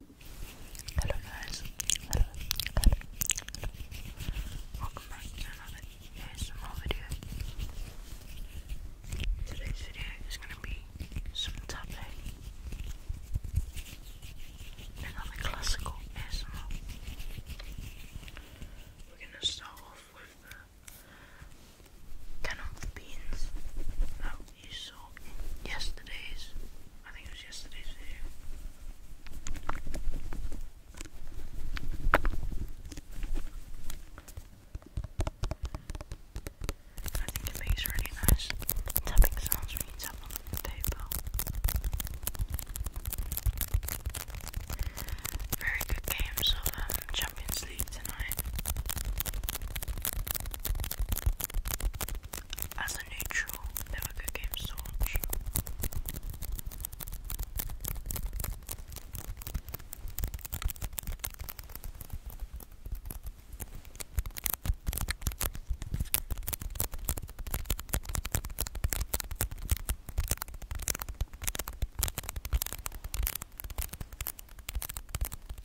Hello guys, hello, hello, welcome to another ASMR video. Today's video is going to be some tapping, another classical ASMR. We're going to start off with the beans you saw yesterday's, I think it was yesterday's video. I think it makes really nice tapping sounds when you tap on the paper. Very good games of um, Champions League tonight. As neutral. They were good games to watch.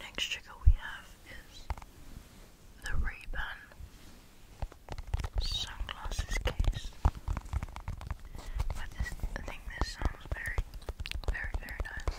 Next trigger we have is the ray sunglasses case. I think this sounds very, very, very nice.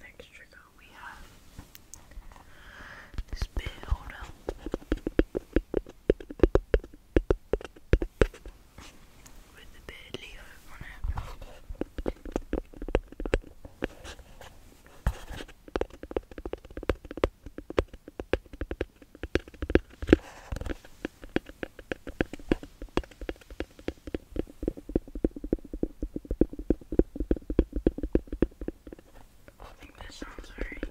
Next trigger we have this with the bird Leo on it. I think that sounds very good.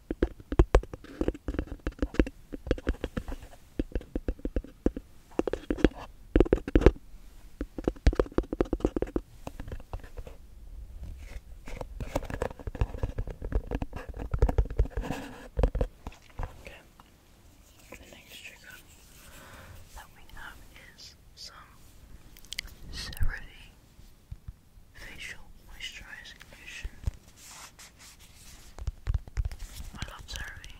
Okay. The next trigger that we have is some cerave facial moisturizing lotion. I love CeraVe.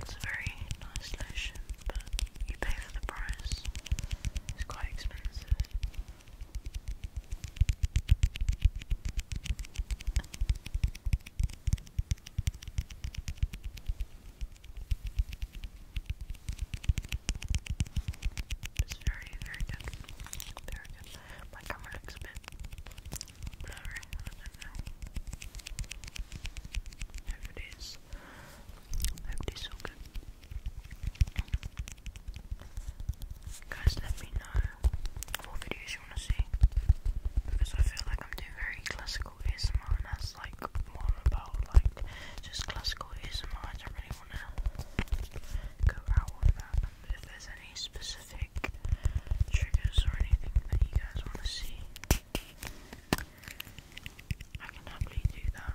it's a very nice lotion, but you pay for the price. It's quite expensive. It's very, very good. Very good. My camera looks a bit I don't know. I it is. I it is all Guys, let me know what videos you want to see because I feel like I'm doing very classical ASMR and that's like more about like just classical ASMR. I don't really want to go out on that. if there's any specific triggers or anything that you guys want to see, I can happily do that.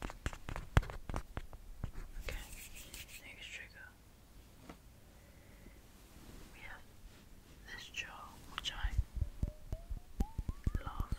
Okay, next trigger. We have this jar, which I love.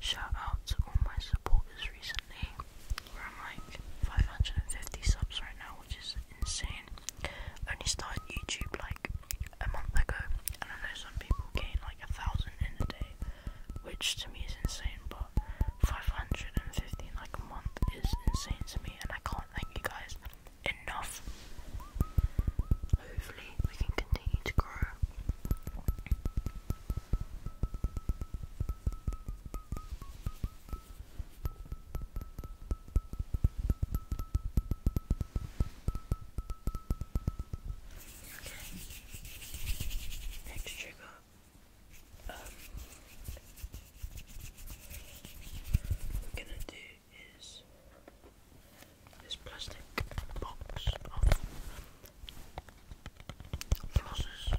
Shout out to all my supporters recently. We're like 550 subs right now which is insane. Only started YouTube like a month ago, and I know some people gain like a thousand in a day, which to me is insane. But 550 like a month is insane to me, and I can't thank you guys enough. Hopefully, we can continue to grow. Okay. Next trigger. we're gonna do is this plastic box of flosses.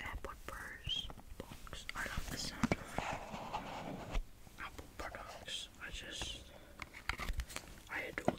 Apple purse box. I love the sound of Apple products. I just I adore them.